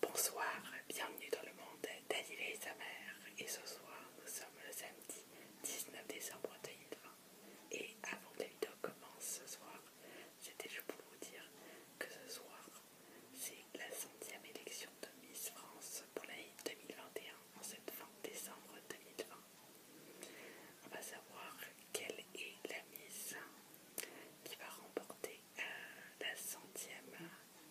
Bonsoir, bienvenue dans le monde d'Aniel et sa mère. Et ce soir, nous sommes le samedi 19 décembre 2020. Et avant que la vidéo commence ce soir, c'était juste pour vous dire que ce soir, c'est la centième élection de Miss France pour l'année 2021, en cette fin décembre 2020. On va savoir quelle est la Miss qui va remporter euh, la centième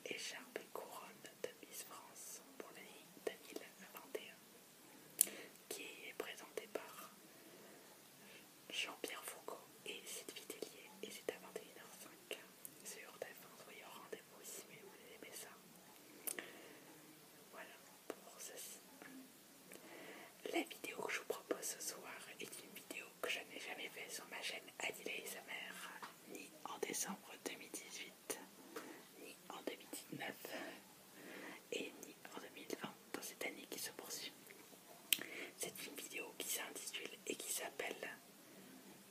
écharpe et couronne de Miss France pour l'année 2021, qui est présentée par Jean-Pierre Foucault et Sylvie Vitellier et c'est à 21h05 sur tf au rendez-vous si vous aimez ça. Voilà pour ceci. La vidéo que je vous propose ce soir est une vidéo que je n'ai jamais faite sur ma chaîne Adilée et sa ni en décembre 2018, ni en 2019 et ni en 2020 dans cette année qui se poursuit. C'est une vidéo qui s'intitule et qui s'appelle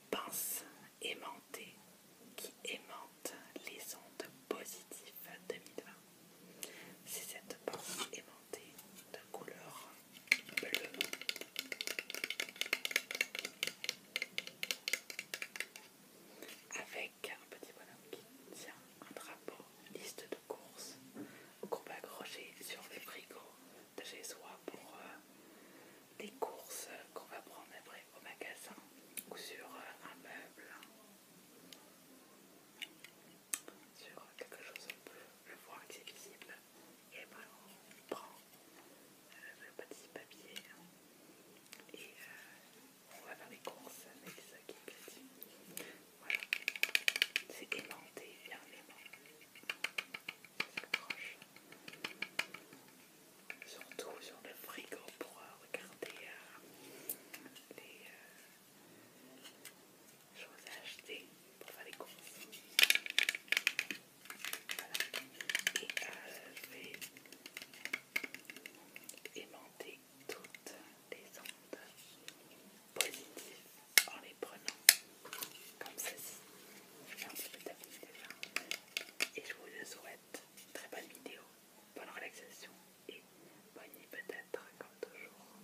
Pense aimantée qui aimante les ondes positives 2020. C'est cette pince aimantée de couleur bleu Avec un petit bonhomme qui tient un drapeau, liste de courses qu'on va accrocher sur les gros de chez soi pour des euh, courses qu'on va prendre après au magasin ou sur euh, un meuble, sur quelque chose, on peut le voir visible et eh voilà, on ben, prend le euh, petit papier et euh, on va faire les courses avec ça qui est petit. Voilà, c'est aimanté, fermement. aimanté, s'accroche surtout sur le frigo pour euh, regarder les, vous ai acheté pour faire les courses. Et euh, je vais aimanter toutes les ondes positives en les prenant comme ceci. Et je vous souhaite très bonne vidéo, bonne relaxation et bonne nuit peut-être comme toujours.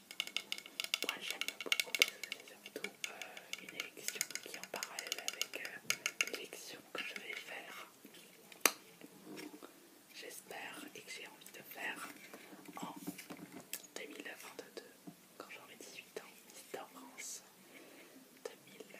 Moi j'aime beaucoup parce que c'est surtout euh, une élection qui est en parallèle avec euh, l'élection que je vais faire. J'espère et que j'ai envie de faire en 2022 quand j'aurai 18 ans, en France 2022.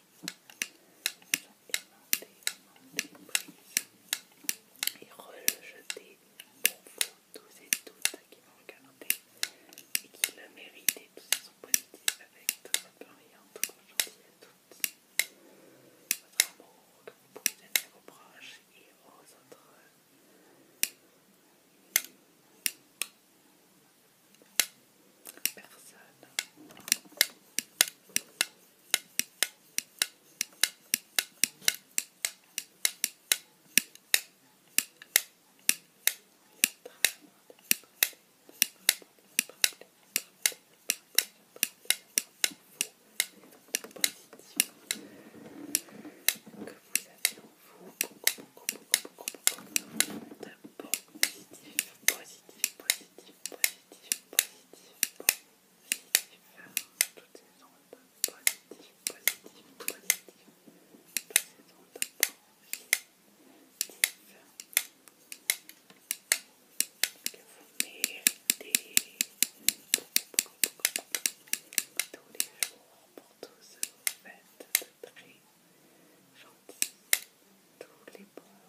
Aimanté, aimanté, prise et rejeté pour vous tous et toutes qui m'ont regardé et qui le méritez et tous sont avec toute votre toute votre gentillesse, à toutes, votre amour que vous pouvez donner à vos proches et aux autres. Personne. Que vous avez en vous beaucoup, beaucoup, beaucoup, beaucoup, beaucoup de positif, positif, positif, positif. Toutes positif, positif, que vous beaucoup, beaucoup, Tous les jours pour tous très Tous les bons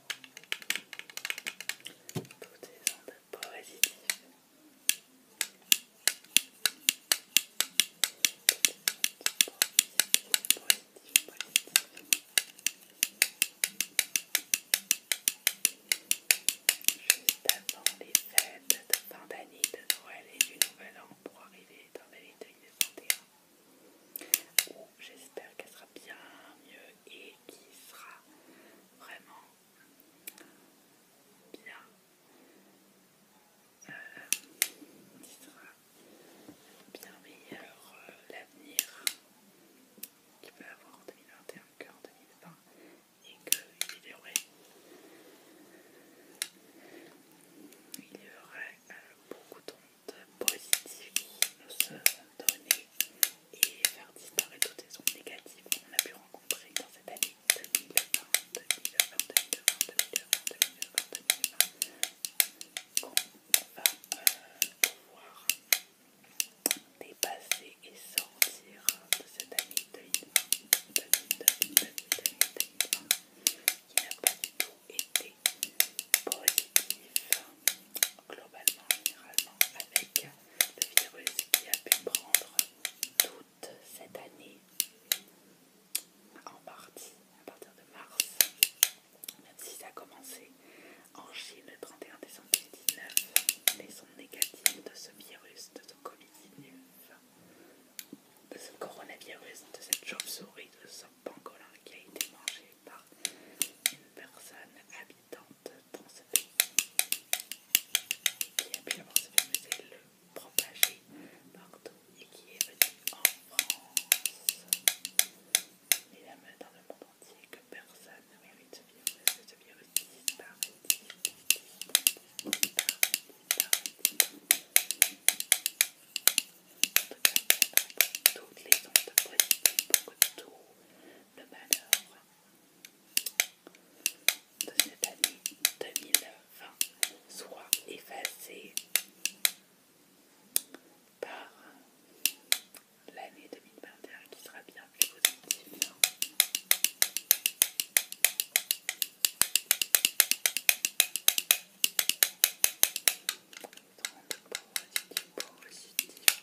Toutes des ondes positives. Juste avant les fêtes de fin d'année de Noël et du Nouvel An pour arriver dans les détail de 21 j'espère qu'elle sera bien mieux et qu'il sera vraiment bien euh, sera bien meilleur euh, l'avenir qu'il peut avoir en 2021 qu'en 2020 et qu'il il y aurait euh, beaucoup beaucoup temps positif qui nous donner et faire disparaître toutes les ondes négatives qu'on a pu rencontrer dans cette année 2020, 2020, 2020, 2020, 2020, 2020, dépasser et sortir de cette année 2020, 2020 qui n'a pas été positif, globalement, généralement, avec le virus qui a pu prendre toute cette année, en partie, à partir de mars, même si ça a commencé en Chine le 31 décembre 2019, les ondes négatives de ce virus, de ce Covid-19, de ce coronavirus, de cette chauve-souris, de ce pangolin qui a été mangé par une personne habitante dans ce pays qui a pu avoir ce et le propager partout et qui est venu en France. Il a dans le monde entier que personne ne mérite ce virus, que ce virus disparaît toutes les ondes positives pour que tout le malheur de cette année 2020 soit effacé par l'année 2021 qui sera bien plus positive. Positif, positif,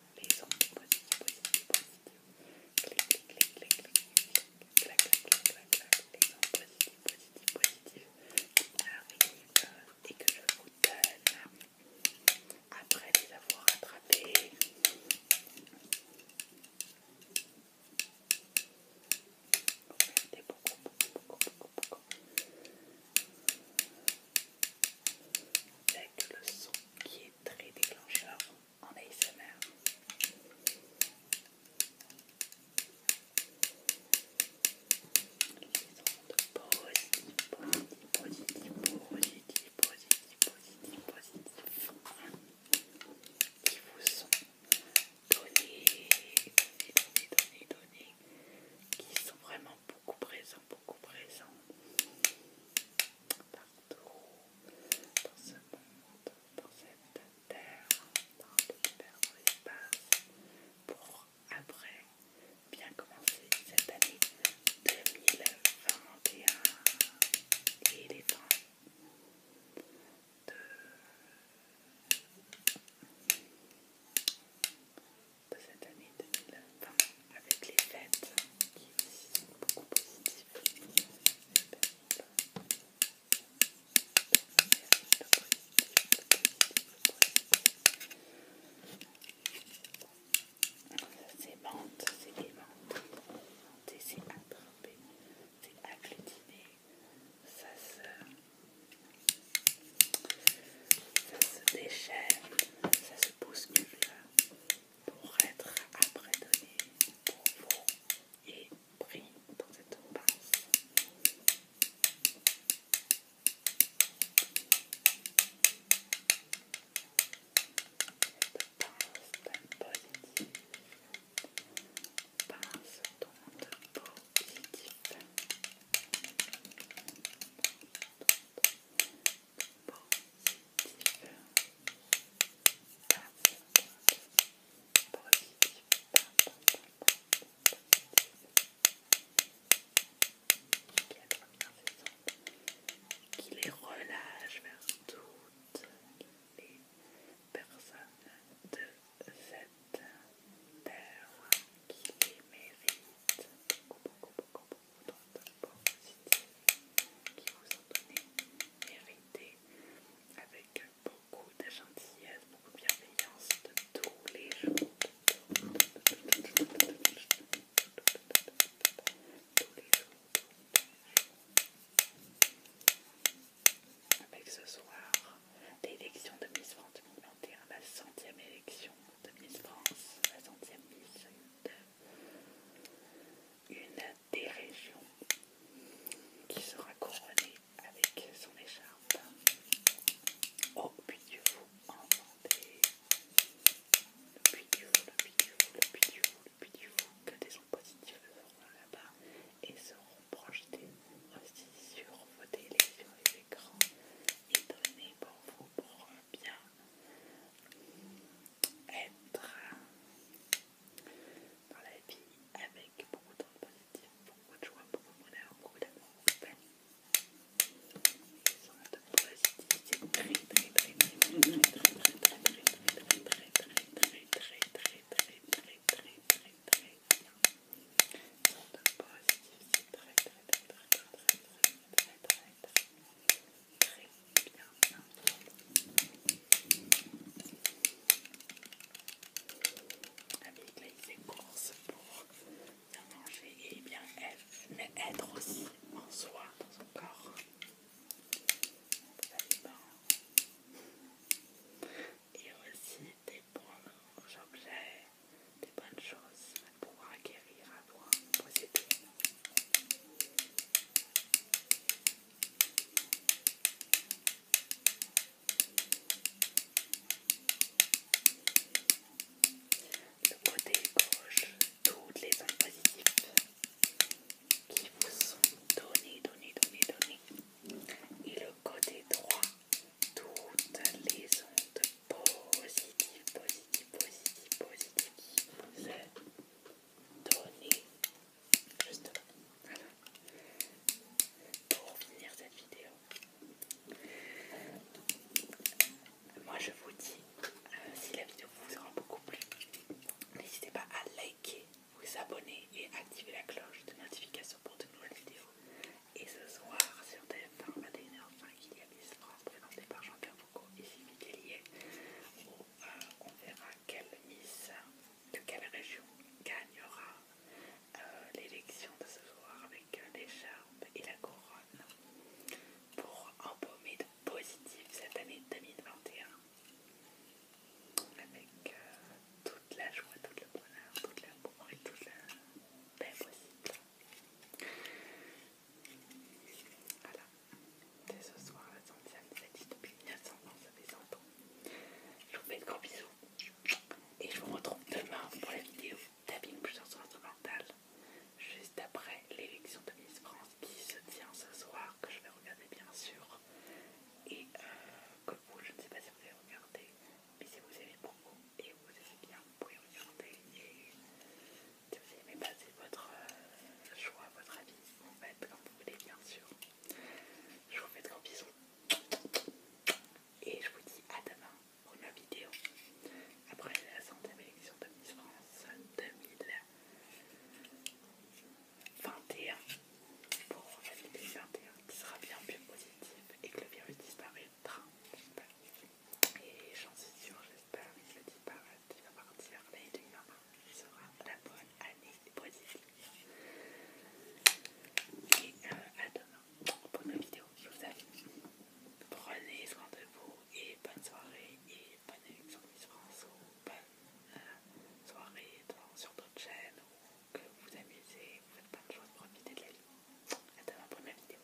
les ondes positives, positives, positives. Les ondes positives, positives, positives que je vous donne après les avoir attrapés avec le son qui est très déclencheur en ASMR. Les ondes positifs, positifs, positifs, positifs, positifs, positifs, qui vous sont donnés, donnés, donnés, donnés, qui sont vraiment beaucoup présents beaucoup présent partout dans ce monde, dans cette terre, dans l'univers, dans l'espace, pour après bien commencer cette année 2021. Et les temps de de cette année 2020 avec les fêtes qui sont beaucoup positives. C'est menthe, c'est menthe, c'est attrapé, c'est agglutiné, ça se, ça se pousse ça se pour être après donné pour vous et pris dans cette passe. Cette d'un positive, passe d'onde positive. Positif qui les relâche vers toutes les personnes de cette terre qui les méritent beaucoup, beaucoup, beaucoup rapport positif qui vous ont donné mérité avec beaucoup de gentillesse, beaucoup de bienveillance de tous les jours. Avec ce soir, l'élection de Miss France 2021, la centième élection de Miss France, la centième Miss de euh, une des régions qui sera couronnée avec son écharpe au oh, puits du vous en Vendée. Le puits du fou, le puits du vous le puits du vous le puits du vous. que des ondes positives feront là-bas et seront projetés aussi sur vos télés, et écrans et données pour vous pour bien être dans la vie avec beaucoup de positif, beaucoup de joie, beaucoup de bonheur, beaucoup d'amour, très très très très très très Très bien, Avec pour bien manger et bien être, mais être aussi en soi, dans son corps. Et aussi des bons objets des bonnes choses pour acquérir, à pouvoir posséder. Le côté gauche, toutes les ondes positives qui vous sont données, données, données, données. Et le côté droit, toutes les ondes positives, positives positif, positif, positif donner. Juste Pour finir cette vidéo. Moi je vous dis, si la vidéo vous aura beaucoup plu, n'hésitez pas à liker, vous abonner et activer la cloche de notification pour de nouvelles vidéos. Et ce soir sur TF1 h enfants il y a des présenté par Jean-Pierre Foucault et Sylvie où euh, on verra quelle Miss de quelle région gagnera euh, l'élection de ce soir avec les l'écharpe et la couronne pour embaumer de positif cette année 2021 avec euh, toute la joie, tout le bonheur, tout l'amour et toute la paix possible. Voilà, c'est ce soir la centième, c'est dit depuis ans, ça fait 100 ans. Je vous fais de gros bisous et je vous retrouve demain pour la vidéo tapping plusieurs soirs mental juste après l'élection de Miss France qui se tient ce soir, que je vais regarder bien sûr. Et que euh, vous, je ne sais pas si vous avez regardé, mais si vous aimez beaucoup et vous aimez bien, vous pouvez regarder. Si vous aimez c'est votre euh, choix, votre avis, en fait, bah, comme vous voulez bien sûr. Je vous fais de gros bisous. Et je vous dis à demain pour une vidéo. Après la centième élection de Miss France 2021. Pour la 2021 qui sera bien plus positive et que le virus disparaît. disparaîtra. Et j'en suis sûre, j'espère il se dit pas qu'il va partir. L'année sera la bonne année positive. Et euh, à demain pour une vidéo. Je vous Prenez soin de vous et bonne soirée. Et bonne élection Miss France ou bonne euh, soirée sur d'autres chaînes ou que vous amusez. Vous faites plein de choses, profitez de la vie. À demain pour une vidéo.